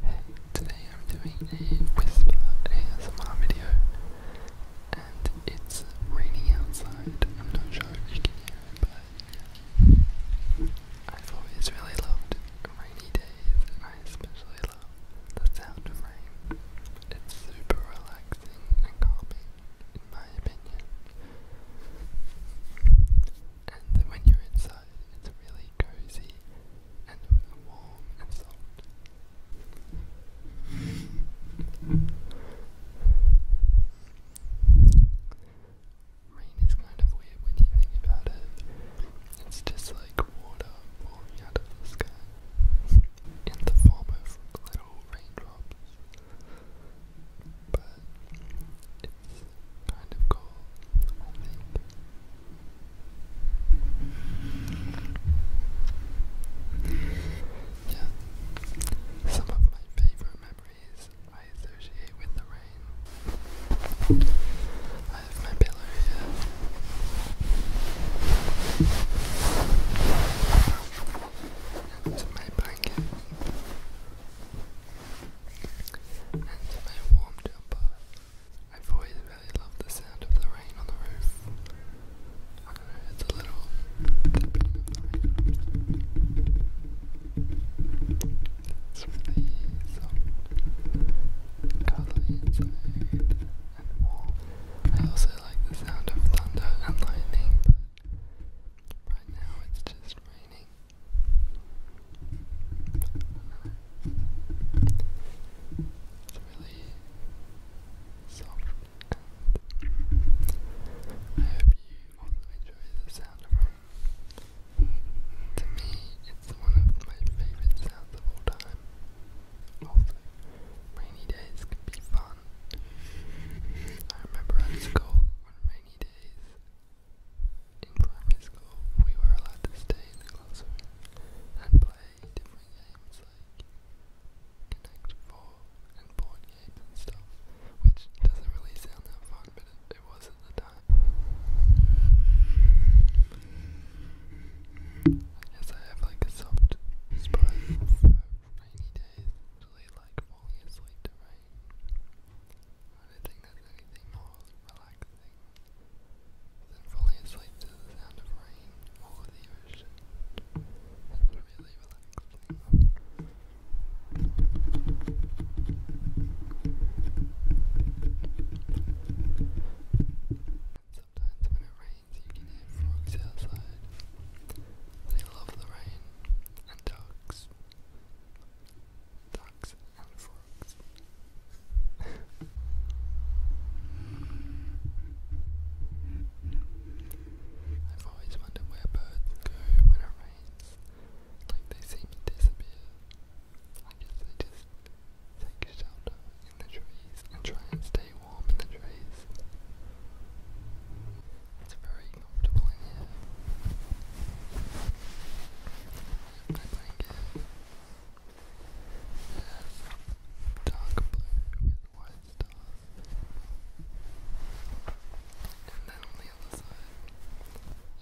Hey, today I'm doing a whisper ASMR video and it's raining outside. I'm not sure if you can hear it, but I've always really loved rainy days and I especially love the sound of rain. It's super relaxing and calming in my opinion and when you're inside, it's really cozy and warm and soft. Rain is kind of weird when you think about it. It's just like water falling out of the sky in the form of little raindrops. But it's kind of goal, Yeah, some of my favorite memories I associate with the rain. I have my pillow here. And my blanket and my warm jumper. i always really love the sound of the rain on the roof. I don't know, it's a little tapping of inside, and warm. I also like the sound of thunder and lightning, but right now it's just raining. It's really soft I hope you enjoy the sound of rain. To me, it's one of my favorite sounds of all time. Also, rainy days can be fun. I remember at school rainy days in primary school, we were allowed to stay in the classroom and play different games like Connect 4 and board games and stuff, which doesn't really sound that fun, but it, was at the time. I guess I have like a soft spot for rainy days, usually like falling asleep to rain. I don't think there's anything more than falling asleep to the sound of rain or the ocean. Sometimes when it rains you can hear frogs outside. They love the rain and ducks ducks and I've always wondered where birds go when it rains. Like they seem to disappear. I guess they just take shelter in the trees and try and stay warm in the trees. It's very comfortable blanket. Uh, dark blue with white stars. And then on the other side,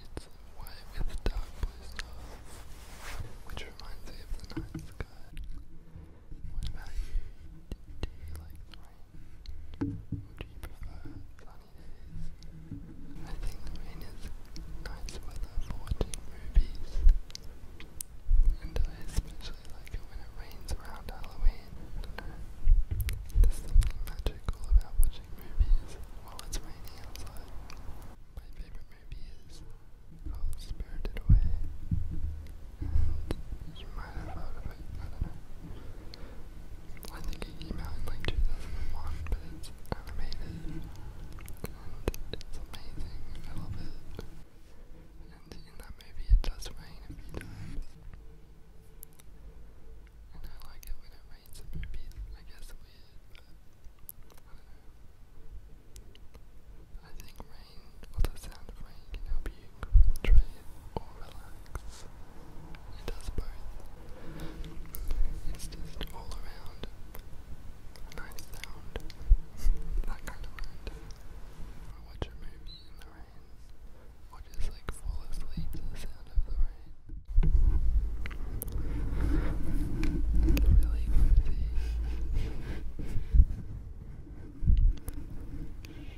it's white with dark blue stars, which reminds me of the night sky. What about you? do you like the rain? Do you prefer sunny days? I think the rain is nice weather for watching movies. And I especially like it when it rains around Halloween. There's something magical about watching movies while it's raining outside. My favourite movie is How Spirited Away. you might have heard of it, I don't know. I think it came out like 2001, but it's animated and it's amazing. I love it. And in that movie, it does rain a few times. And I like it when it rains in movies. I guess it's I don't know. I think rain, or the sound of rain, can help you concentrate or relax. It does both. It's just all around a nice sound. that kind of sound. I watch a movie in the rain, or just like fall asleep to the sound of the rain. Really cozy. Anyway,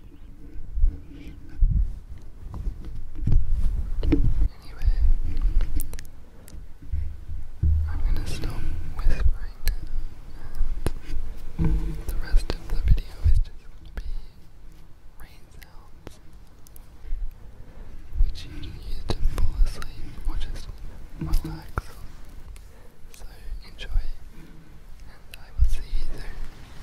I'm gonna stop whispering and the rest of the video is just gonna be rain sounds, which you can use to fall asleep or just relax. So enjoy, and I will see you soon.